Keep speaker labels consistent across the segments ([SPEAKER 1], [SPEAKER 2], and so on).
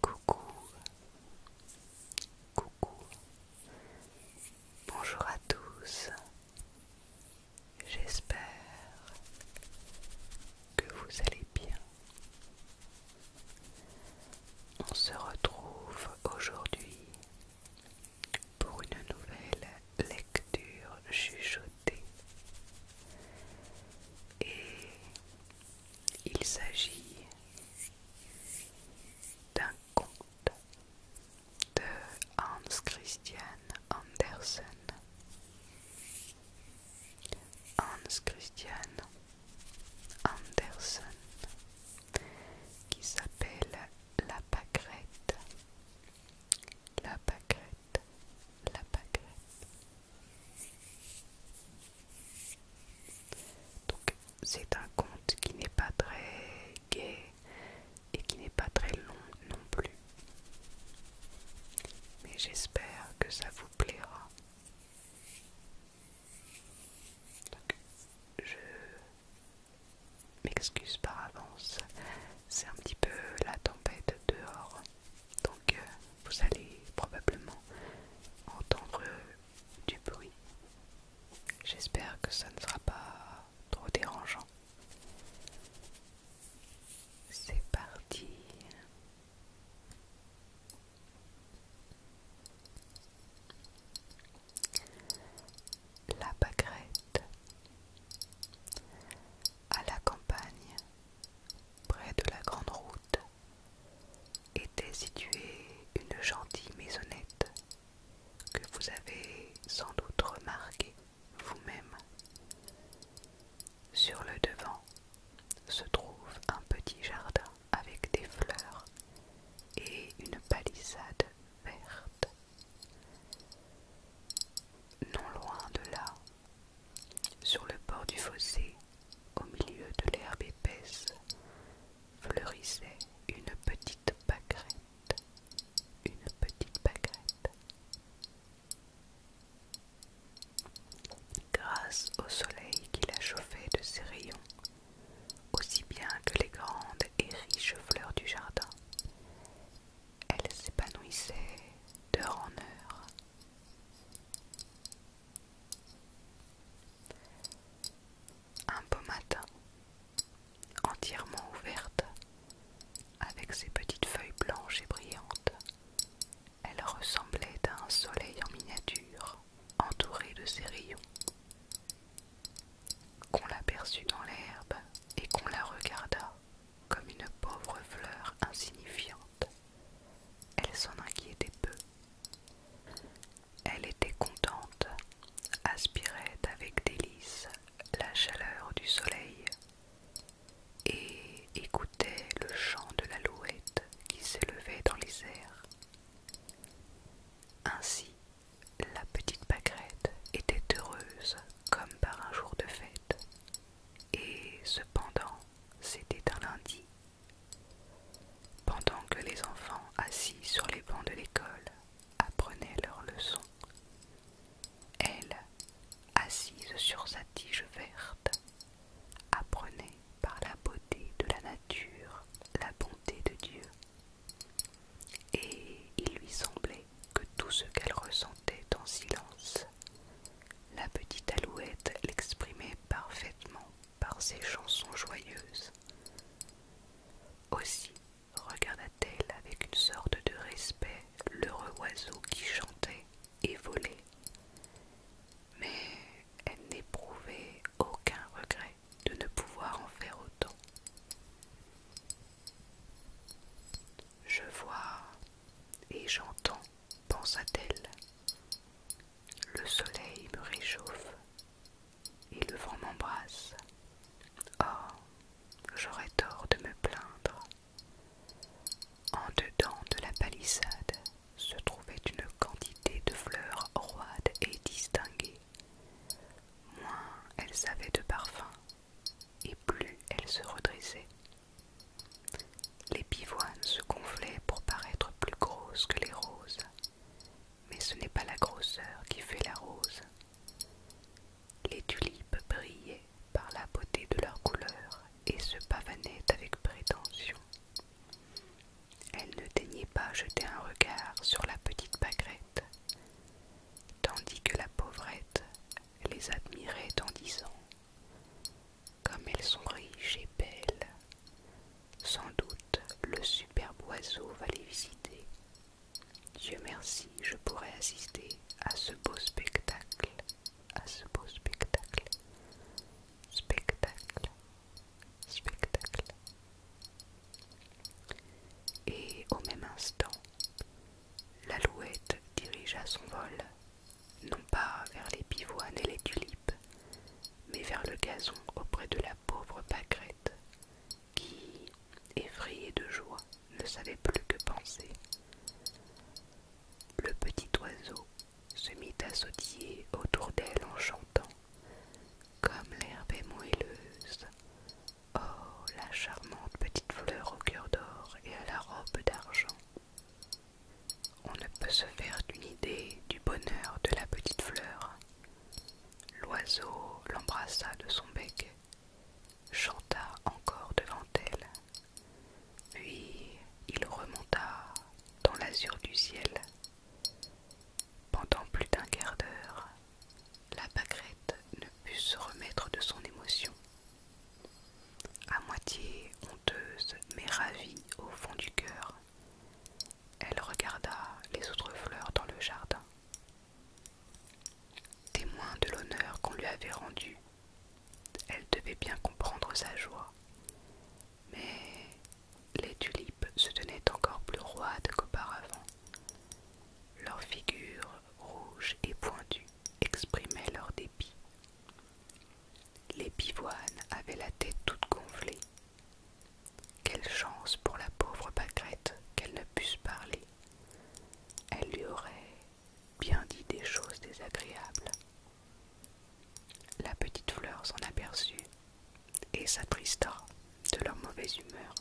[SPEAKER 1] Coucou, coucou, bonjour à tous, j'espère que vous allez bien. On se retrouve aujourd'hui pour une nouvelle lecture chuchotée. Et il s'agit d'un conte de Hans Christian Andersen. Hans Christian Andersen qui s'appelle La Pâquerette la baguette, la baguette. Donc c'est un conte qui n'est pas très gai et qui n'est pas très long non plus. Mais j'espère que ça vous plaira. Donc, je m'excuse par avance, c'est un petit peu la tempête dehors, donc euh, vous allez probablement entendre du bruit. J'espère que ça ne sera pas trop dérangeant. C'est parti la Bagrette. À la campagne, près de la grande route, était située une gentille maisonnette que vous avez sans doute remarquée vous-même. Sur le devant se trouve un petit jardin avec des fleurs et une palissade verte. Non loin de là, sur le bord du fossé, au milieu de l'herbe épaisse, fleurissait une petite pâquerette, une petite pâquerette. Grâce au soleil qui la chauffait de ses rayons, aussi bien que les grandes et riche fleurs du jardin. Elle s'épanouissait d'heure en heure. Un beau matin, entièrement ouverte, avec ses petites feuilles blanches et brillantes, elle ressemblait à un soleil en miniature, entouré de ses rayons qu'on l'aperçut dans l'herbe et qu'on la regarda comme une pauvre fleur insignifiante. Elle s'en inquiétait peu. Elle était contente, aspirait avec délice la chaleur du soleil et écoutait le chant de l'alouette qui s'élevait dans les airs. Ainsi la petite pâquerette était heureuse comme par un jour de fête. Et cependant, c'était un lundi. Pendant que les enfants assis sur les bancs de l'école apprenaient leurs leçons, elle, assise sur sa tige verte, apprenait par la beauté de la nature la bonté de Dieu. Et il lui semblait que tout ce qu'elle ressentait en silence, la petite alouette l'exprimait parfaitement par ses chansons joyeuses. Aussi regarda-t-elle avec une sorte de respect l'heureux oiseau qui chantait et volait. Mais elle n'éprouvait aucun regret de ne pouvoir en faire autant. Je vois et j'entends, pensa-t-elle. Le soleil me réchauffe et le vent m'embrasse. Oh, j'aurais tort de me plaindre. En dedans de la palissade se trouvait une quantité de fleurs roides et distinguées. Moins elles avaient de parfums, et plus elle se redressait. Les pivoines se gonflaient pour paraître plus grosses que les roses, mais ce n'est pas la grosseur qui fait la rose. Les tulipes brillaient par la beauté de leur couleur et se pavanaient avec prétention. Elles ne daignaient pas jeter un regard sur la petite pâquerette, tandis que la pauvrette les admirait en disant Comme elles sont riches et belles, sans doute le superbe oiseau va les visiter. Dieu merci, je pourrais assister à ce beau spectacle, à ce beau spectacle, spectacle, spectacle. Et au même instant, l'alouette dirigea son vol, non pas vers les pivoines et les tulipes, mais vers le gazon auprès de la pauvre pâquerette, qui, effrayée de joie, ne savait plus que penser. Le petit oiseau se mit à sautiller autour d'elle en chantant, comme l'herbe est moelleuse, Oh, la charmante petite fleur au cœur d'or et à la robe d'argent. On ne peut se faire d'une idée du bonheur de la petite fleur. L'oiseau l'embrassa de son bec, chanta encore devant elle, puis il remonta dans l'azur du ciel. Pendant plus d'un quart d'heure, la pâquerette ne put se remettre de son émotion. À moitié honteuse, mais ravie au fond du cœur, elle regarda les autres fleurs dans le jardin. Témoin de l'honneur qu'on lui avait rendu, elle devait bien comprendre sa joie. Mais les tulipes se tenaient encore plus roides qu'auparavant, leurs figures rouges et pointues exprimaient leur dépit. Les pivoines avaient la tête toute gonflée. Quelle chance pour la pauvre bagrette qu'elle ne puisse parler. Elle lui aurait bien dit des choses désagréables. La petite fleur s'en aperçut et s'attrista de leur mauvaise humeur.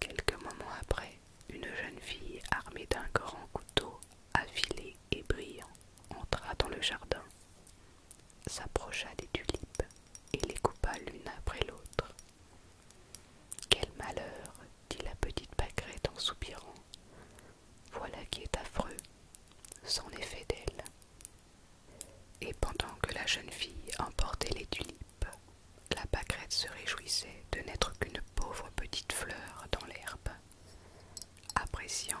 [SPEAKER 1] Quelques moments après, une jeune fille armée d'un grand couteau affilé et brillant entra dans le jardin, s'approcha des tulipes et les coupa l'une après l'autre. Quel malheur, dit la petite pâquerette en soupirant. Voilà qui est affreux. C'en est fait d'elle. Et pendant que la jeune fille emportait les tulipes, la pâquerette se réjouissait de n'être qu'une pauvre petite fleur dans l'herbe, appréciant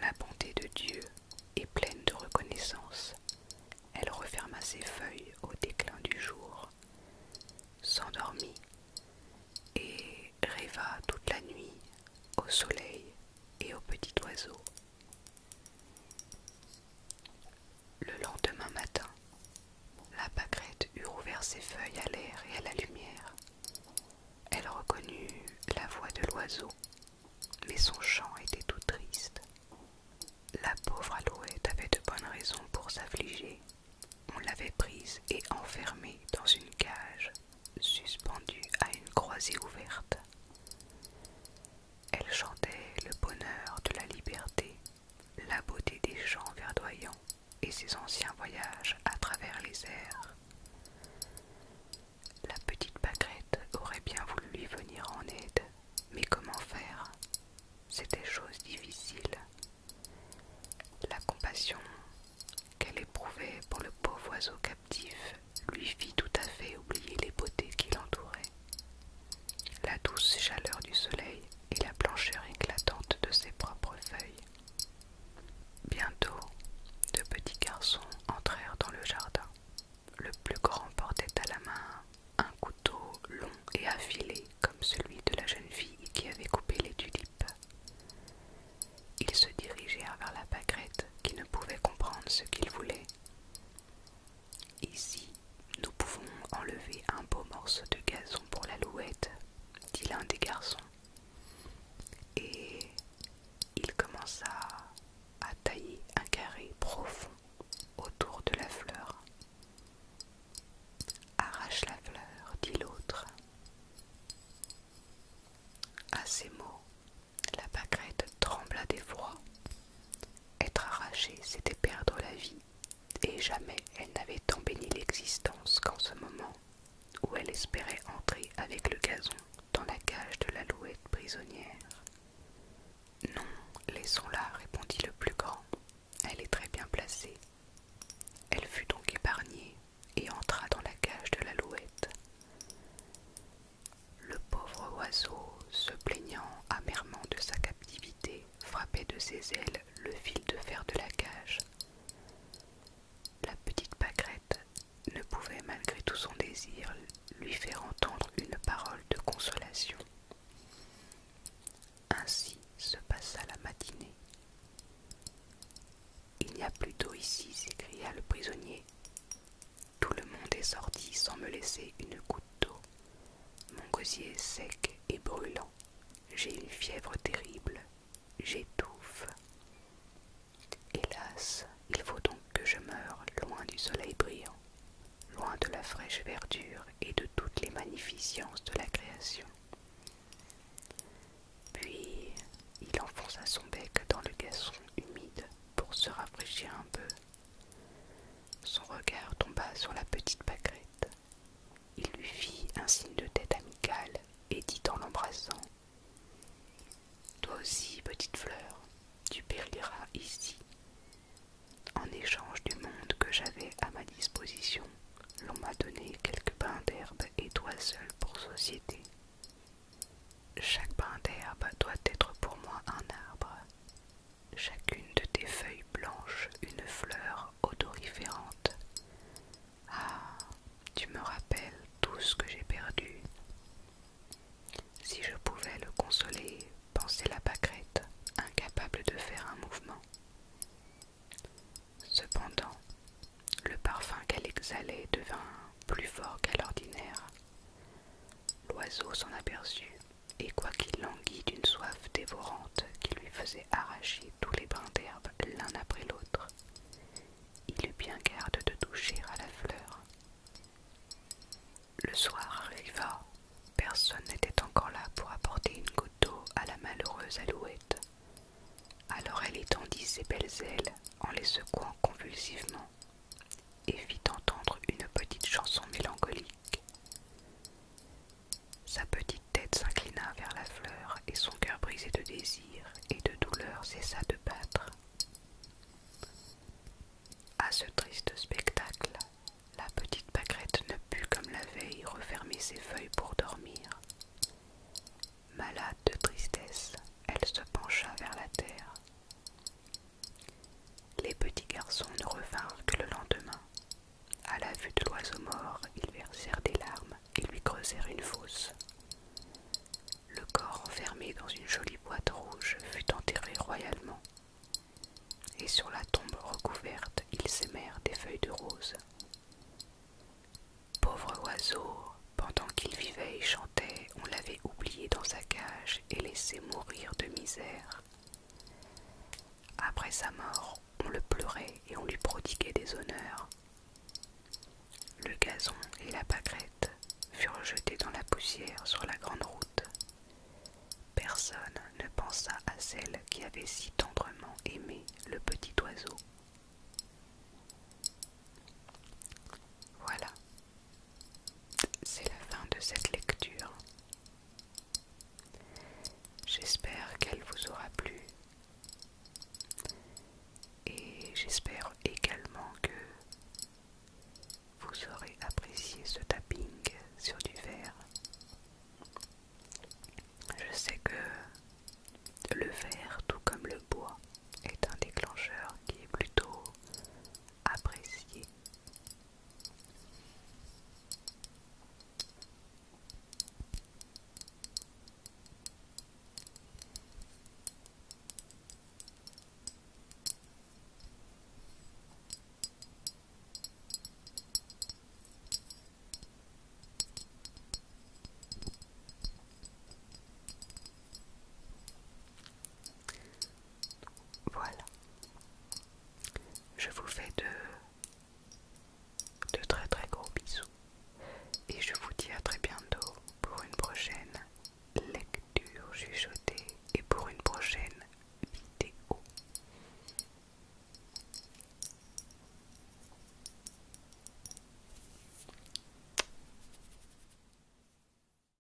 [SPEAKER 1] la bonté de Dieu et pleine de reconnaissance. Elle referma ses feuilles au déclin du jour, s'endormit et rêva toute la nuit au soleil et aux petits oiseaux le lendemain matin, la pâquerette eut rouvert ses feuilles à l'air et à la lumière. Elle reconnut la voix de l'oiseau, mais son chant était tout triste. La pauvre alouette avait de bonnes raisons pour s'affliger. On l'avait prise et enfermée dans une cage, suspendue à une croisée ouverte. Elle chantait le bonheur de la liberté, la beauté des champs verdoyants et ses anciens voyages à travers les airs. La petite pâquerette aurait bien voulu lui venir en aide, mais comment faire C'était chose difficile. La compassion qu'elle éprouvait pour le pauvre oiseau captif lui fit tout à fait oublier les beautés qui l'entouraient. La douce chaleur du soleil et la blancheur éclatante de ses propres feuilles. Bientôt, deux petits garçons entrèrent dans le jardin. Le plus grand portait à la main un couteau long et affilé comme celui de la jeune fille qui avait coupé les tulipes. Ils se dirigèrent vers la pâquerette qui ne pouvait comprendre ce qu'il voulait Ici, nous pouvons enlever un beau morceau de gazon pour l'alouette, dit l'un des garçons. Et il commença à tailler un carré profond autour de la fleur. Arrache la fleur, dit l'autre. À ces mots, la pâquerette trembla d'effroi. Être arrachée, c'était perdre la vie, et jamais elle n'avait tant béni l'existence qu'en ce moment où elle espérait entrer avec le gazon dans la cage de l'alouette prisonnière. Non, laissons-la, répondit le plus grand. Elle est très bien placée. Elle fut donc épargnée et entra dans la cage de l'alouette. Le pauvre oiseau, se plaignant amèrement de sa captivité, frappait de ses ailes le fil de fer de la cage. La petite pâquerette ne pouvait, malgré tout son désir, lui faire entendre une parole de consolation. Ainsi se passa la matinée. Il n'y a plus d'eau ici, s'écria le prisonnier. Tout le monde est sorti sans me laisser une goutte d'eau. Mon gosier est sec et brûlant. J'ai une fièvre terrible. J'étouffe. Hélas, il faut donc que je meure loin du soleil brillant, loin de la fraîche verdure et de toutes les magnificences de la création. Puis il enfonça son bec dans le gazon humide pour se rafraîchir un peu. Son regard tomba sur la petite pâquerette. Il lui fit un signe de tête amical et dit en l'embrassant Toi aussi, petite fleur, tu périras ici. En échange du monde que j'avais à ma disposition, l'on m'a donné quelques pains d'herbe et toi seul pour société. Chaque brin d'herbe doit être pour moi un arbre, chacune de tes feuilles blanches une fleur odoriférante. Ah, tu me rappelles tout ce que j'ai perdu. Si je pouvais le consoler, pensait la pâquerette, incapable de faire un mouvement. Cependant, le parfum qu'elle exhalait devint plus fort qu'à l'ordinaire. L'oiseau s'en aperçut, et quoiqu'il languît d'une soif dévorante qui lui faisait arracher tous les brins d'herbe l'un après l'autre, il eut bien garde de toucher à la fleur. Le soir arriva, personne n'était encore là pour apporter une goutte d'eau à la malheureuse alouette. Alors elle étendit ses belles ailes en les secouant convulsivement et fit entendre une petite chanson mélancolique. Sa petite tête s'inclina vers la fleur et son cœur brisé de désir et de douleur cessa de battre. À ce triste spectacle, la petite pâquerette ne put, comme la veille, refermer ses feuilles pour dormir. Malade de tristesse, elle se pencha vers la terre. Les petits garçons ne revinrent que le lendemain. À la vue de l'oiseau mort, ils versèrent des larmes et lui creusèrent une fosse. Le corps enfermé dans une jolie boîte rouge fut enterré royalement. Et sur la tombe recouverte, ils s'émèrent des feuilles de rose. Pauvre oiseau, pendant qu'il vivait et chantait, on l'avait oublié dans sa cage et laissé mourir de misère. Après sa mort, on le pleurait et on lui prodiguait des honneurs. Le gazon et la pâquerette furent jetés dans la poussière sur la grande route. Personne ne pensa à celle qui avait si tendrement aimé le petit oiseau. Voilà, c'est la fin de cette lecture. J'espère qu'elle vous aura plu. Et j'espère également que vous aurez apprécié ce tapping sur du verre. Je sais que le verre, tout comme le bois, est un déclencheur qui est plutôt apprécié. Voilà. Je vous fais de, de très très gros bisous. Et je vous dis à très bientôt pour une prochaine lecture chuchotée et pour une prochaine vidéo.